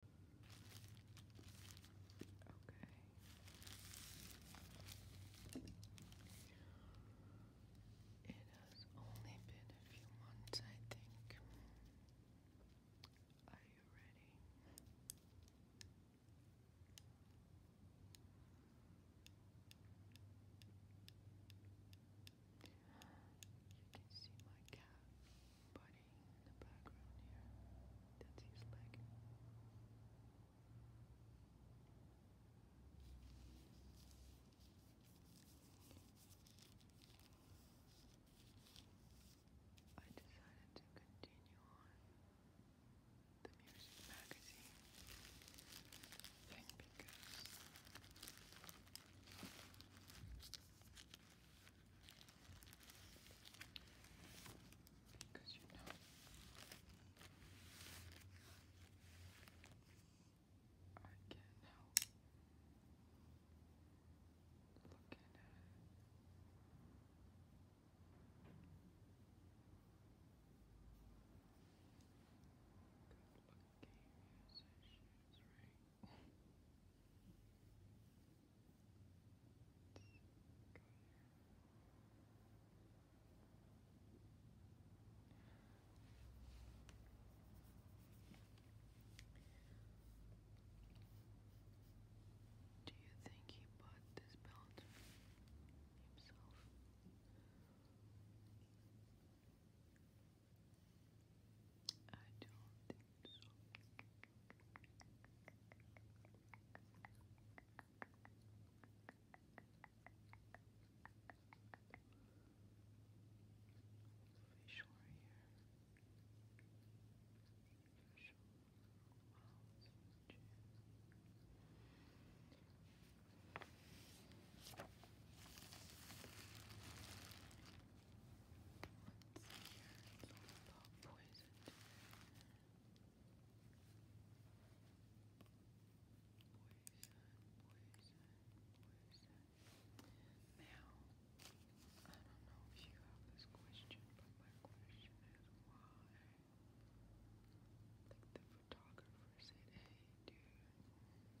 Okay. It has only been a few months, I think. Are you ready? You can my cat by recording in the background here. That's his leg. I decided to continue on the music magazine thing because because you know, I can't help looking at it. Good looking musicians, right? Do you think he bought this belt himself? I don't think so. Facial right here. Facial. Let's see here. It's all about poison poison. Now, I don't know if you have this question, but my question is why? Like the photographer said, hey dude, open your mouth,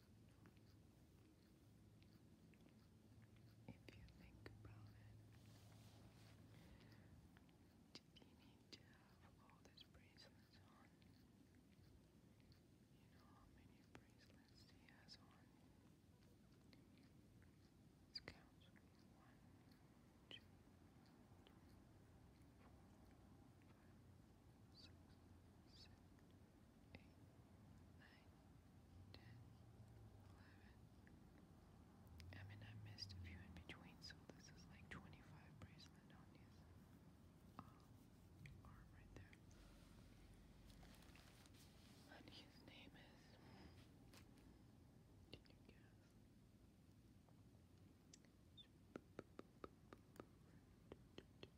If you think about it, did he need to have all these bracelets on? You know how many bracelets he has on? Let's count. One, two, three, four, five, six, seven, eight, nine, 10, 11. I mean, I missed a few in between, so this is like 25 bracelet on his uh, arm right there. And his name is. Can you guess?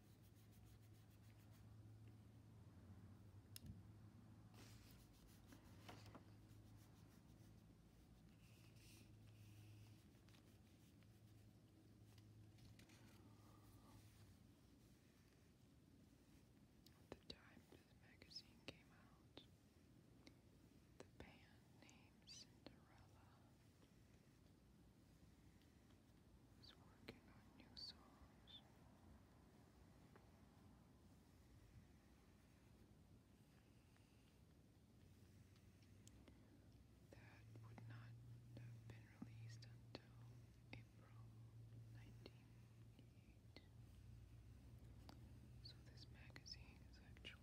At the time this magazine came out, the band named Cinderella is working on new songs. That would not have been released until April 1988. So this magazine is actually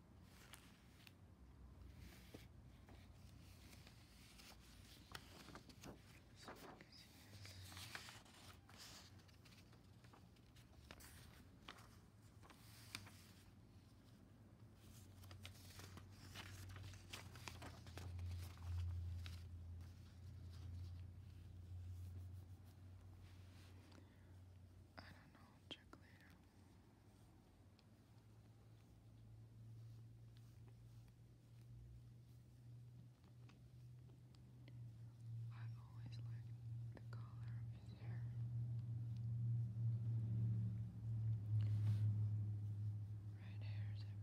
I don't know, check later. I always liked the color of his hair. Red hair is everything. That dark red hair is everything.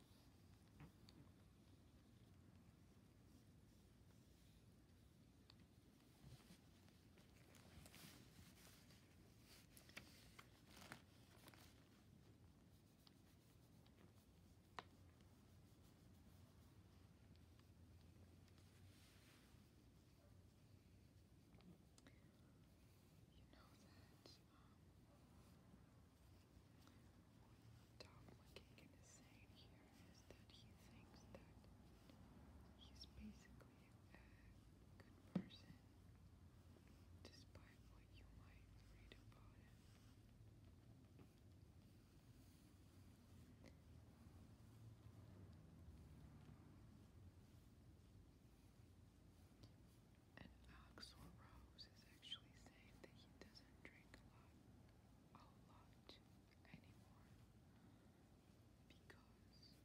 You know that um, Tom McKagan is saying here is that he thinks that he's basically a good person, despite what you might read about him. And Axel Rose is actually saying that he doesn't drink a lot, a lot anymore because it tears the hell out of his throat.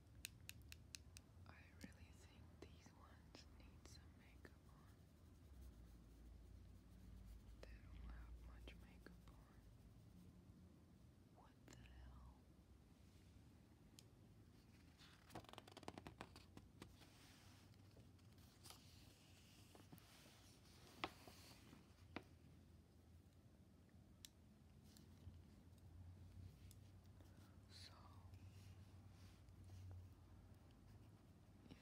I really think these ones need some makeup on. They don't have much makeup on. What the hell? So his lips are bigger than mine.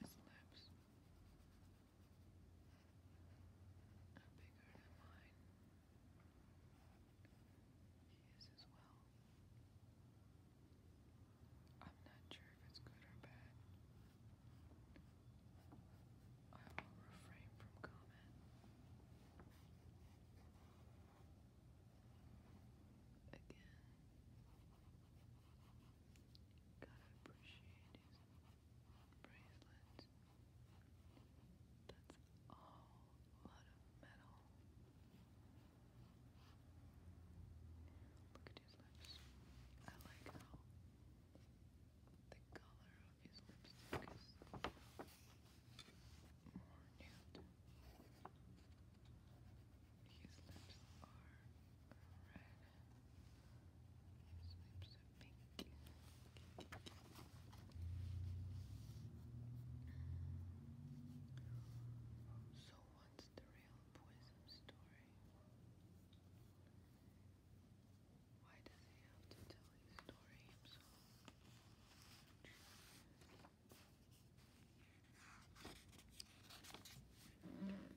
He is as well. I'm not sure if it's good or bad. I will refrain from comment. Again, gotta appreciate his bracelet. That's a lot of metal. Look at his lips. I like how the color of his lipstick is more nude. His lips are red. lips are pink. So what's the real poison story? Why does he have to tell his story himself? better with life, guys. Take it as he light's going down.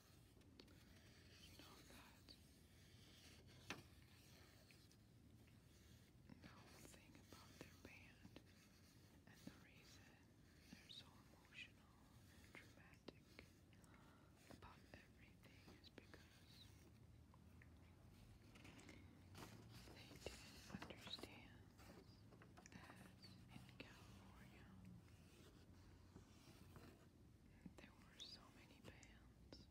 No, that. The whole thing about their band and the reason they're so emotional and dramatic about everything is because they didn't understand that in California there were so many bands.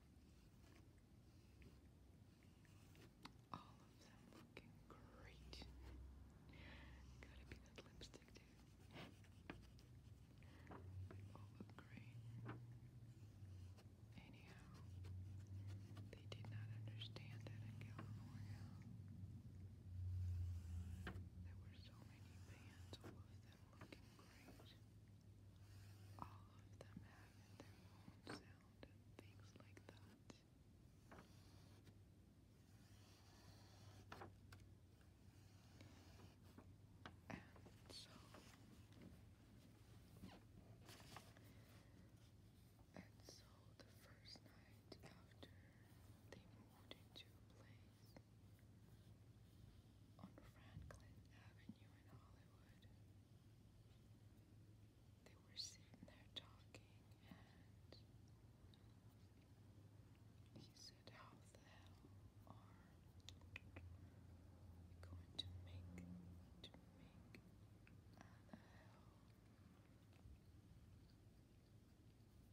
All of them looking great. Gotta be that lipstick, dude. all look great. Anyhow, they did not understand that in California. There were so many bands, all of them looking great. All of them having their own sound and things like that. And so and so the first night after they moved into place on Franklin Avenue in Hollywood. They were sitting there talking, and he said, How the hell are we going to make, to make,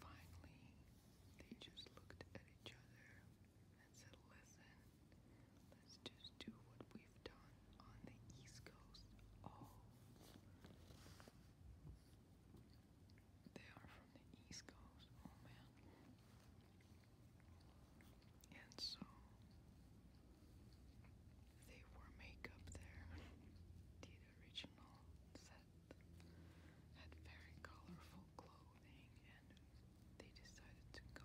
Finally, they just looked at each other and said, Listen, let's just do what we've done on the East Coast. Oh, they are from the East Coast. Oh man. And so they wore makeup there. The original set had very colorful clothing, and they decided to go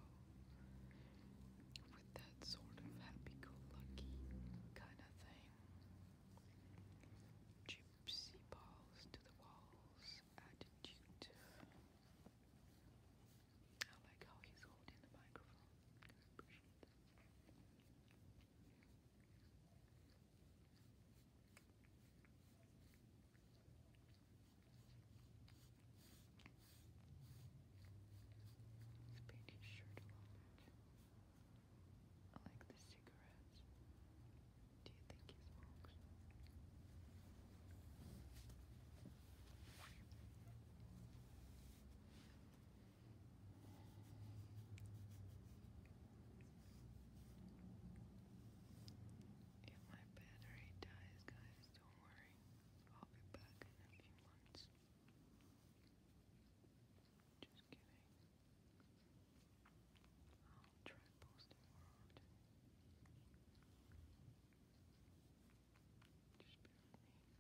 with that sort of happy-go-lucky kind of thing. Gypsy balls to the walls attitude. I like how he's holding the microphone. Let's his shirt a little bit. I like the cigarettes. Do you think he smokes? If my battery dies, guys, don't worry. I'll be back in a few months. Just kidding. I'll try posting more often. Just bear with me.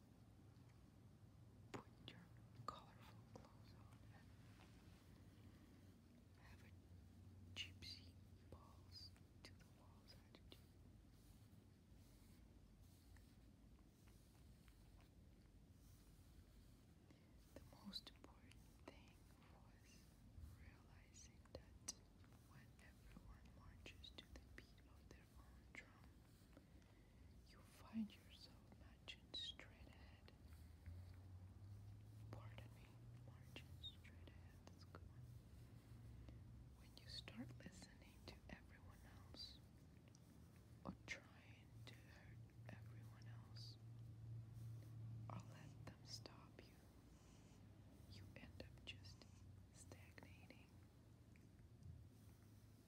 put your colorful clothes on have a gypsy balls to the walls The most important thing was realizing that everyone marches to the beat of their own drum, you find yourself marching straight ahead. Pardon me, marching straight ahead. That's good When you start listening to everyone else or trying to hurt everyone else or let them stop you, you end up just stagnating.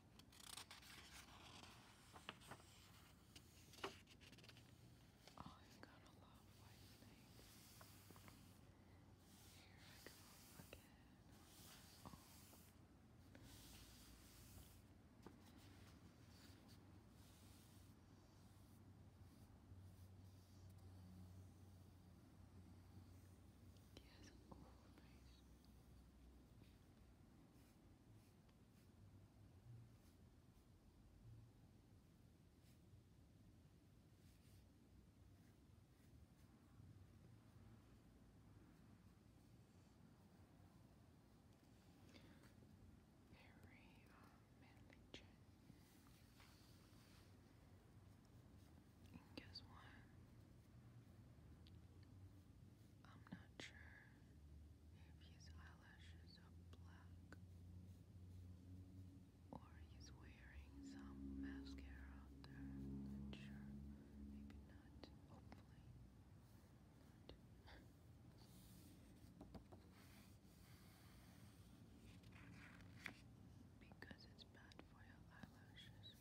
I'm gonna love White Snake. Here I go again He has an oval face. Harry um, uh, Manley and guess I'm not sure if his eyelashes are black or he's wearing some mascara not sure. Maybe not. Hopefully not. Because it's bad for your eyelashes.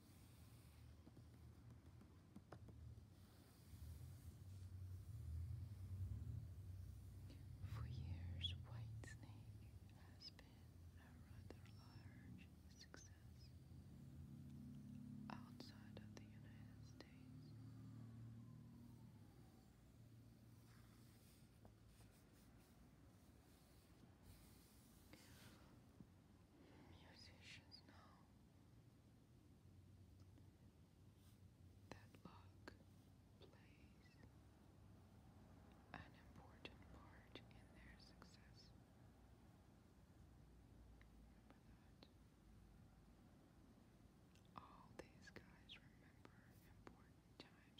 For years, Whitesnake has been a rather large success outside of the United States. Musicians now that luck plays an important part in their success. All these guys remember important times in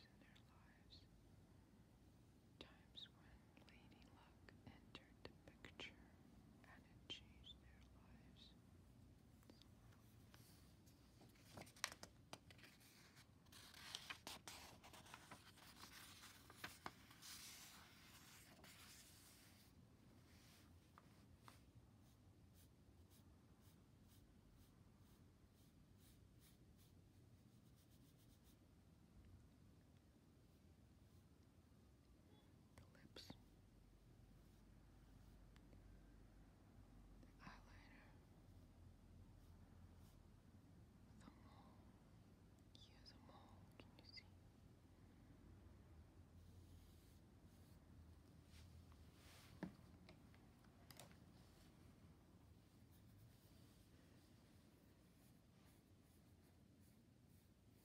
their lives. Times when Lady Luck entered picture and it changed their lives the lips, the eyeliner, the mole. Here's a mole. Can you see?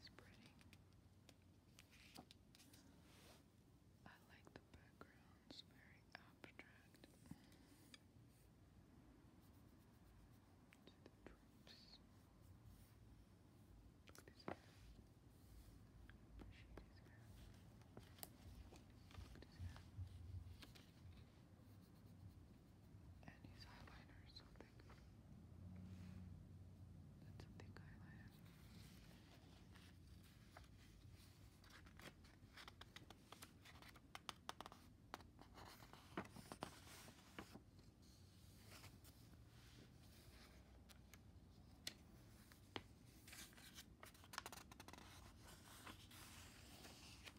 It's pretty. I like the background, very abstract. See and his eyeliner is so thick. That's a thick eyeliner.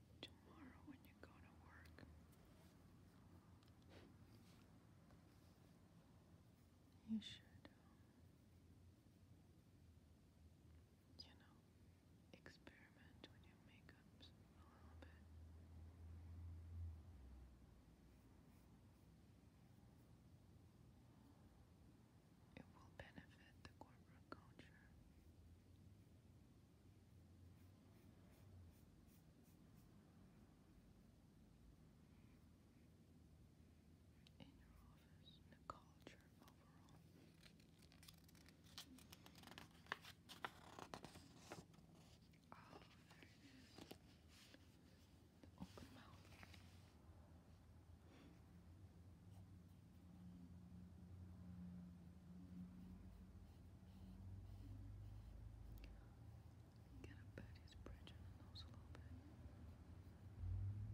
tomorrow when you go to work. You should, um, you know, experiment with your makeups a little bit. It will benefit the corporate culture in your office, in the culture overall. Oh, there it is. The open mouth. Get a Betty's bridge on the nose a little bit. He has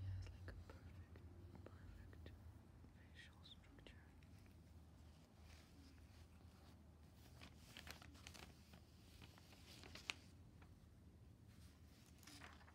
like a perfect, perfect facial structure.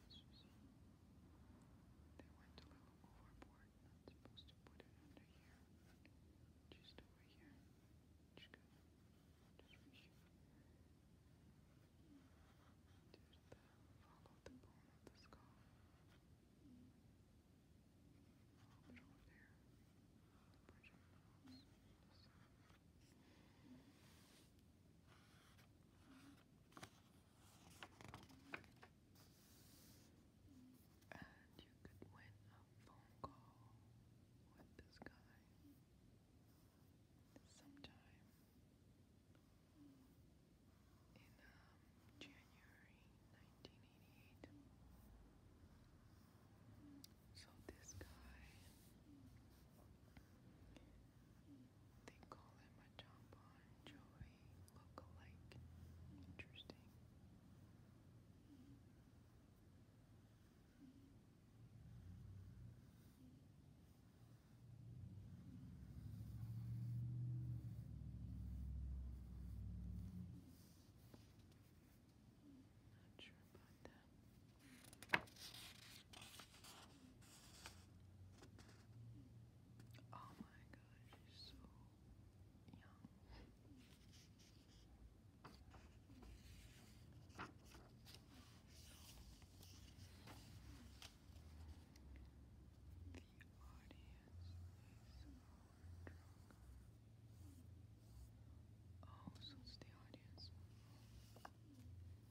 They went a little overboard. supposed to put it under here. Just over here. Just here. follow the bone of the skull. A there. Bridge of and you could win a phone call with this guy sometime in um, January 1988. So this guy they call him a John Bon look-alike. Interesting. Not sure about that. Oh my gosh, she's so young. The audience is our drug. Oh, so it's the audience.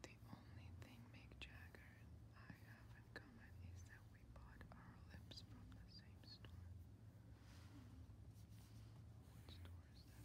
The only thing Mick Jagger and I have in common is that we bought our lips from the same store. What store is that,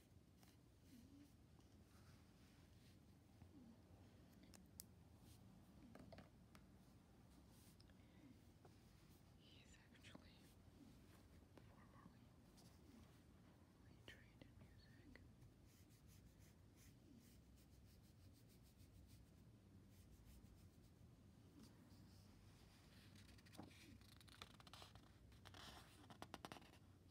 He's actually formerly trained in music.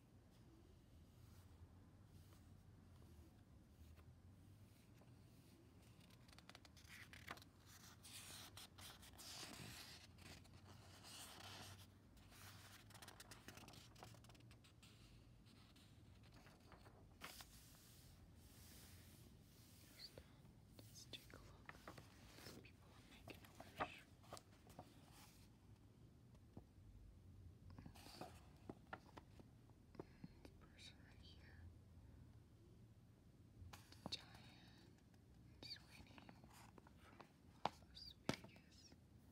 Uh, let's take a look. Some people are making a wish person right here. Giant Sweeney from Las Vegas. Can I please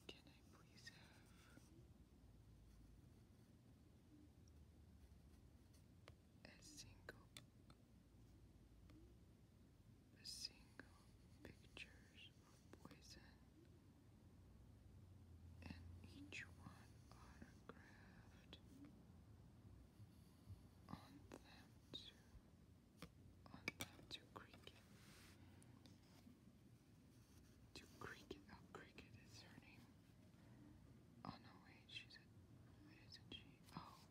have a single a single pictures of poison and each one autographed on them to on them to cricket to cricket oh cricket is her name oh no wait she's a is she oh